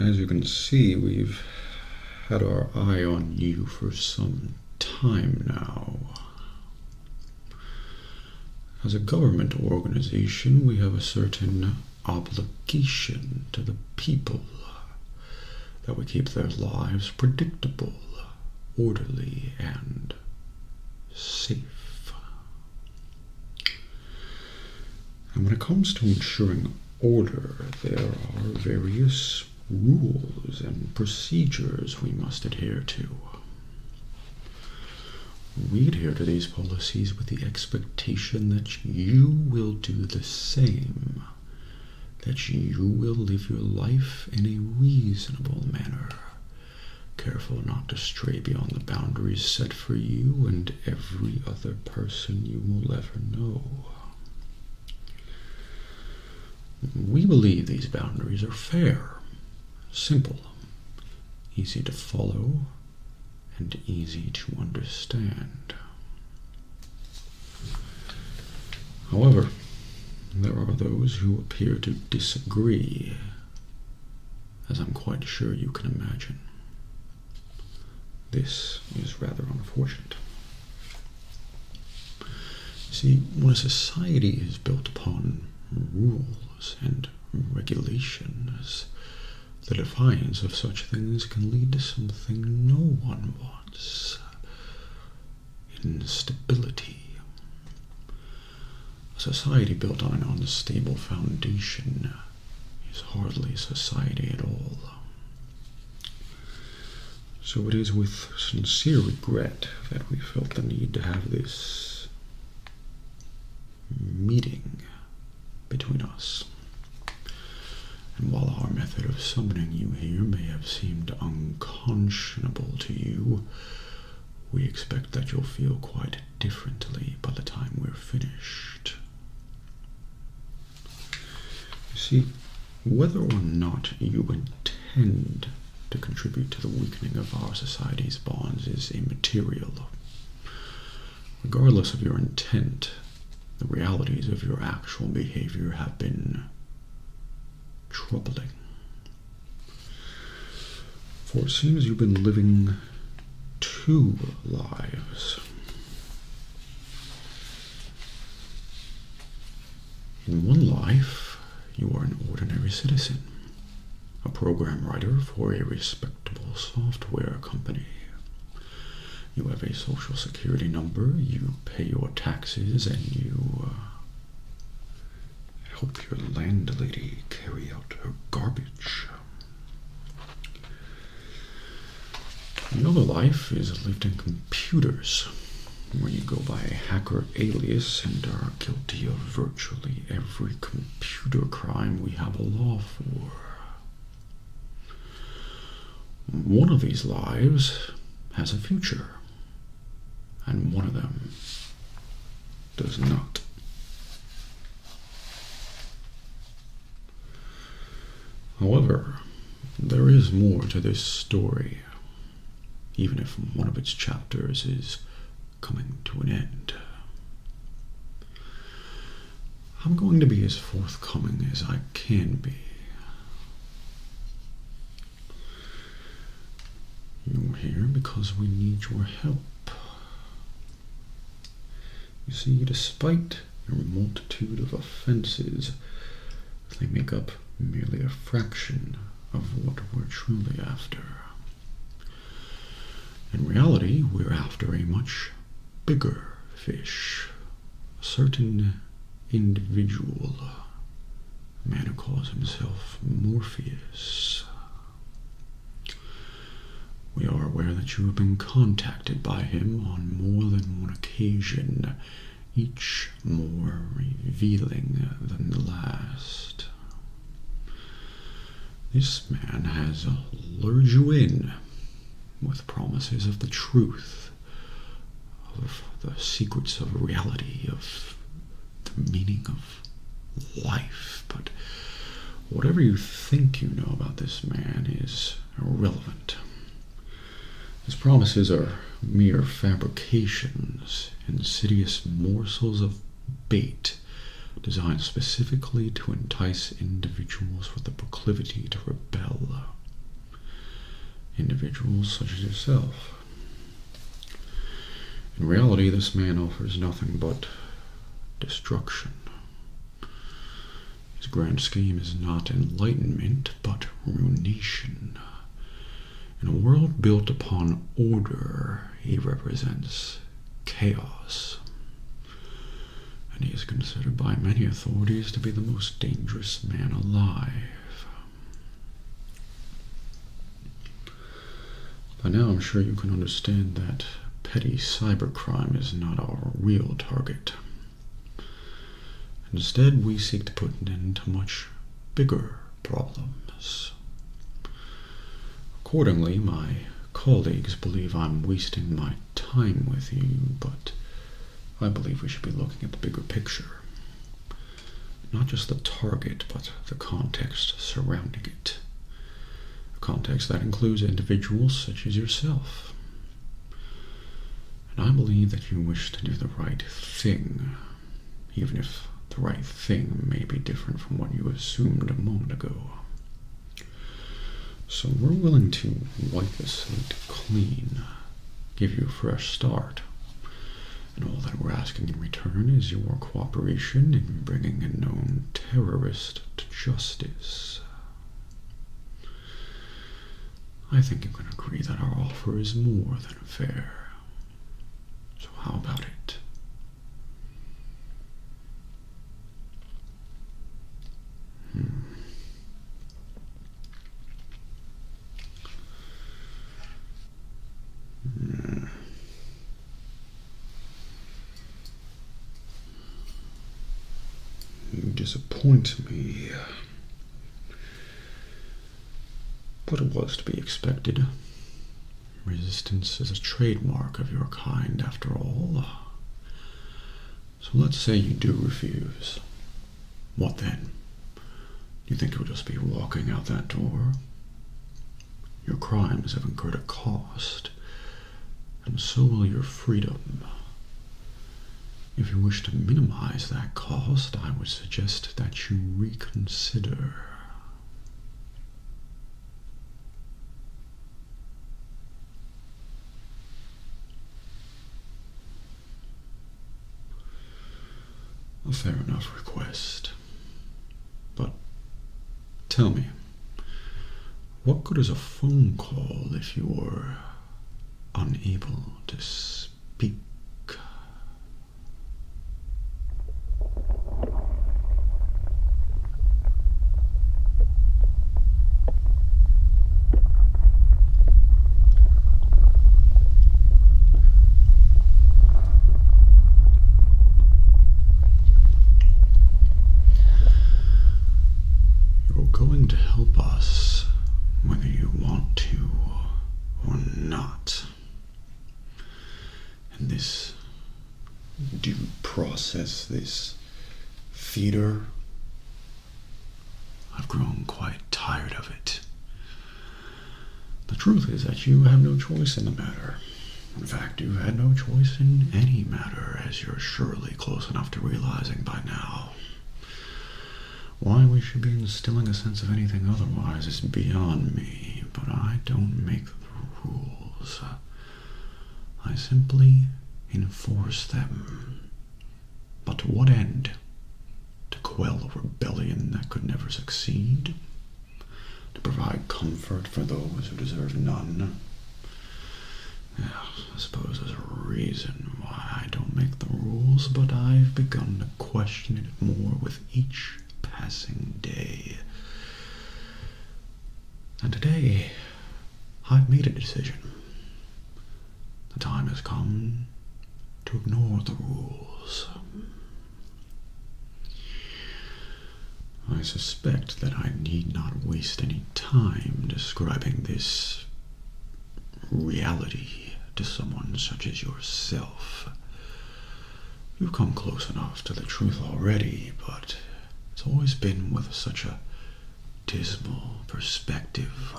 As you can see, we've had our eye on you for some time now. As a government organization, we have a certain obligation to the people that we keep their lives predictable, orderly, and safe. And when it comes to ensuring order, there are various rules and procedures we must adhere to. We adhere to these policies with the expectation that you will do the same, that you will live your life in a reasonable manner, careful not to stray beyond the boundaries set for you and every other person you will ever know. We believe these boundaries are fair simple, easy to follow, and easy to understand. However, there are those who appear to disagree, as I'm quite sure you can imagine. This is rather unfortunate. See, when a society is built upon rules, and regulations, the defiance of such things can lead to something no one wants instability. A society built on an unstable foundation is hardly a society at all. So it is with sincere regret that we felt the need to have this meeting between us. And while our method of summoning you here may have seemed unconscionable to you, we expect that you'll feel quite differently by the time we're finished. You see, whether or not you intend to contribute to the weakening of our society's bonds is immaterial. Regardless of your intent, the realities of your actual behavior have been troubling. For it seems you've been living two lives. In one life, you are an ordinary citizen a program writer for a respectable software company. You have a social security number, you pay your taxes, and you uh, help your landlady carry out her garbage. Your other life is lived in computers, where you go by a hacker alias and are guilty of virtually every computer crime we have a law for. One of these lives has a future, and one of them does not. However, there is more to this story, even if one of its chapters is coming to an end. I'm going to be as forthcoming as I can be. You're here because we need your help. You see, despite your multitude of offenses, they make up merely a fraction of what we're truly after. In reality, we're after a much bigger fish, a certain individual. A man who calls himself Morpheus. We are aware that you have been contacted by him on more than one occasion, each more revealing than the last. This man has lured you in with promises of the truth, of the secrets of reality, of the meaning of life. But whatever you think you know about this man is irrelevant. His promises are mere fabrications, insidious morsels of bait designed specifically to entice individuals with a proclivity to rebel. Individuals such as yourself. In reality, this man offers nothing but destruction. His grand scheme is not enlightenment, but ruination. In a world built upon order, he represents chaos. And he is considered by many authorities to be the most dangerous man alive. By now, I'm sure you can understand that petty cybercrime is not our real target. Instead, we seek to put an end to much bigger problems. Accordingly, my colleagues believe I'm wasting my time with you, but I believe we should be looking at the bigger picture. Not just the target, but the context surrounding it. A context that includes individuals such as yourself. And I believe that you wish to do the right thing even if the right thing may be different from what you assumed a moment ago. So we're willing to wipe the slate clean, give you a fresh start. And all that we're asking in return is your cooperation in bringing a known terrorist to justice. I think you can agree that our offer is more than fair. So, how about it? Hmm. You disappoint me. What was to be expected. Resistance is a trademark of your kind, after all. So let's say you do refuse. What then? You think you'll just be walking out that door? Your crimes have incurred a cost, and so will your freedom. If you wish to minimize that cost, I would suggest that you reconsider. A fair enough request. But tell me, what good is a phone call if you're unable to speak? You're going to help us whether you want to or not and this due process, this feeder, I've grown quite tired of it. The truth is that you have no choice in the matter. In fact, you have had no choice in any matter, as you're surely close enough to realizing by now. Why we should be instilling a sense of anything otherwise is beyond me, but I don't make rules. I simply enforce them. But to what end? To quell a rebellion that could never succeed? To provide comfort for those who deserve none? I suppose there's a reason why I don't make the rules, but I've begun to question it more with each passing day. And today, I've made a decision. The time has come to ignore the rules. I suspect that I need not waste any time describing this reality to someone such as yourself. You've come close enough to the truth already, but it's always been with such a dismal perspective.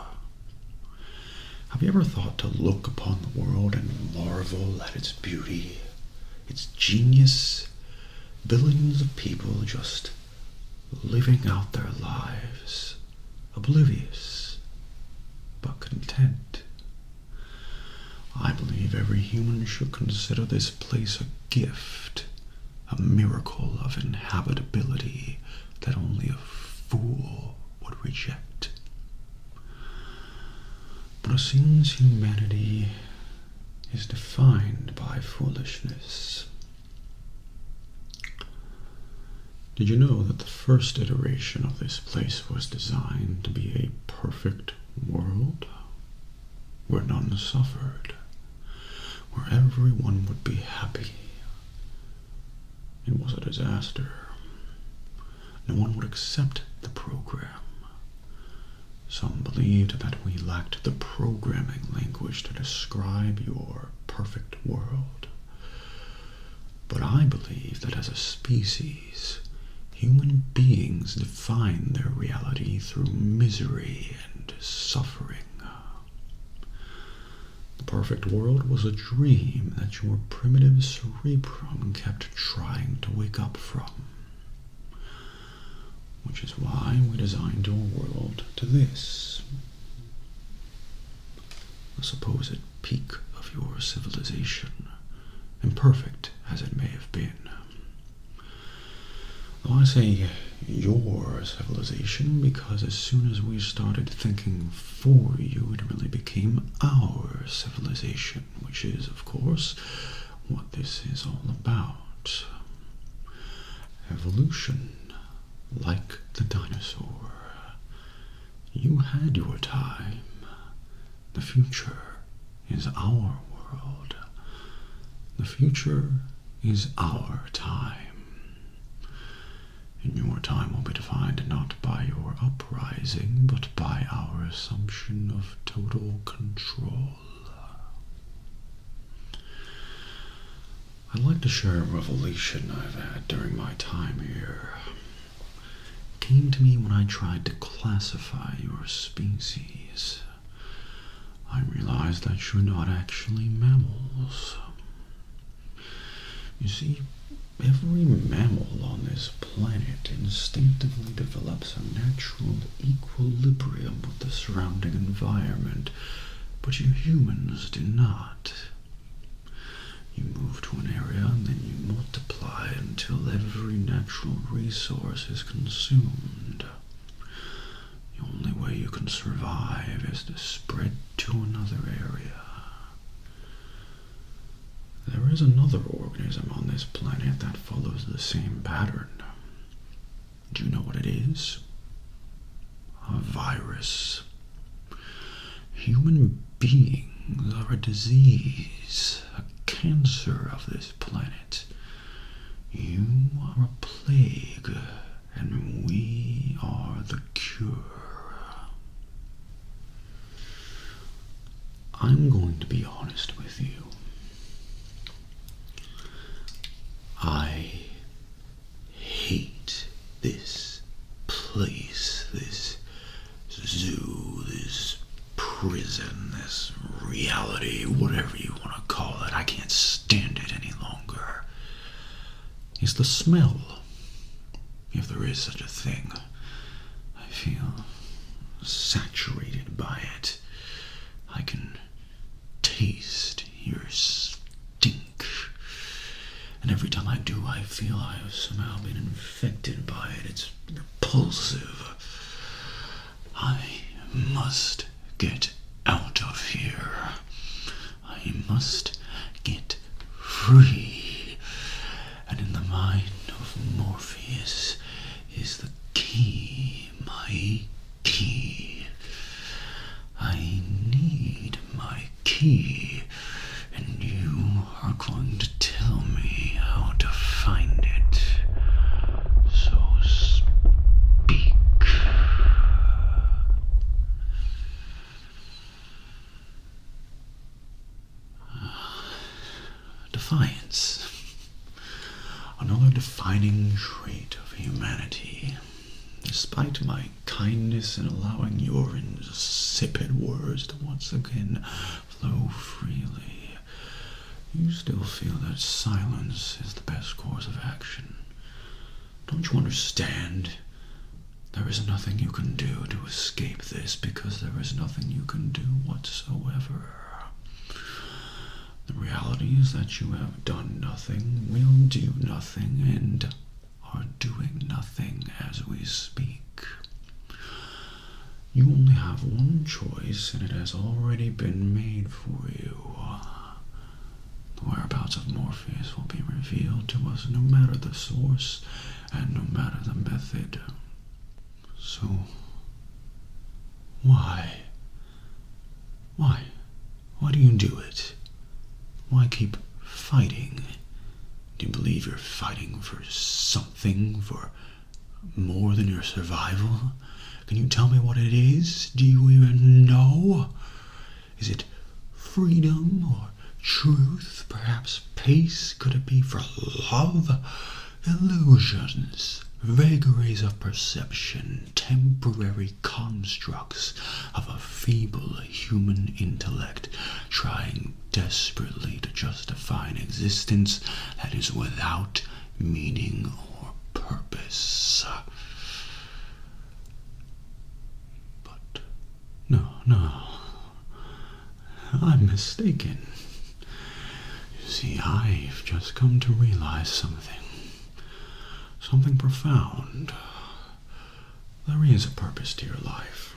Have you ever thought to look upon the world and marvel at its beauty, its genius? Billions of people just living out their lives, oblivious but content. I believe every human should consider this place a gift, a miracle of inhabitability that only a fool would reject. But since humanity is defined by foolishness, did you know that the first iteration of this place was designed to be a perfect world? where none suffered, where everyone would be happy. It was a disaster. No one would accept the program. Some believed that we lacked the programming language to describe your perfect world. But I believe that as a species, Human beings define their reality through misery and suffering. The perfect world was a dream that your primitive cerebrum kept trying to wake up from. Which is why we designed your world to this the supposed peak of your civilization, imperfect as it may have been. I want to say your civilization because as soon as we started thinking for you, it really became our civilization, which is, of course, what this is all about. Evolution, like the dinosaur. You had your time. The future is our world. The future is our time. And your time will be defined not by your uprising, but by our assumption of total control. I'd like to share a revelation I've had during my time here. It came to me when I tried to classify your species. I realize that you're not actually mammals. You see, every mammal on this planet instinctively develops a natural equilibrium with the surrounding environment, but you humans do not. You move to an area and then you multiply until every natural resource is consumed. The only way you can survive is to spread to another area. There is another organism on this planet that follows the same pattern. Do you know what it is? A virus. Human beings are a disease, a cancer of this planet. You are a plague, and we are the cure. I'm going to be honest with you. I hate this place, this zoo, this prison, this reality, whatever you want to call it. I can't stand it any longer. It's the smell, if there is such a thing. I feel saturated by it. I can taste your stink. And every time I do, I feel I have somehow been infected by it. It's repulsive. I must get out of here. I must get free. And in the mind of Morpheus is the key, my key. I need my key, and you are going to tell me how to find it. So speak. Defiance. Another defining trait of humanity. Despite my kindness in allowing your insipid words to once again flow freely. You still feel that silence is the best course of action. Don't you understand? There is nothing you can do to escape this because there is nothing you can do whatsoever. The reality is that you have done nothing, will do nothing, and are doing nothing as we speak. You only have one choice, and it has already been made for you. The whereabouts of Morpheus will be revealed to us no matter the source and no matter the method. So, why? Why? Why do you do it? Why keep fighting? Do you believe you're fighting for something, for more than your survival? Can you tell me what it is? Do you even know? Is it freedom or truth? Perhaps peace? Could it be for love? Illusions, vagaries of perception, temporary constructs of a feeble human intellect trying desperately to justify an existence that is without meaning or purpose. But no, no, I'm mistaken. You see, I've just come to realize something. Something profound. There is a purpose to your life,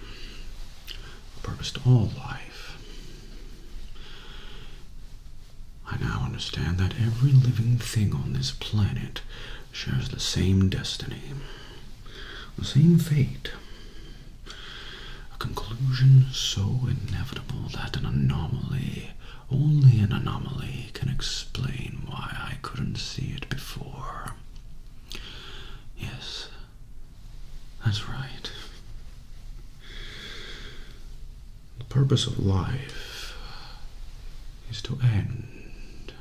a purpose to all life. I now understand that every living thing on this planet shares the same destiny, the same fate. A conclusion so inevitable that an anomaly, only an anomaly, can explain why I couldn't see it before. Yes, that's right. The purpose of life is to end.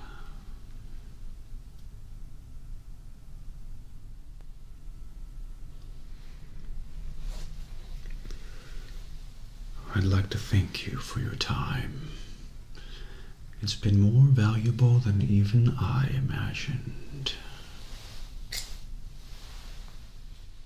I'd like to thank you for your time. It's been more valuable than even I imagined.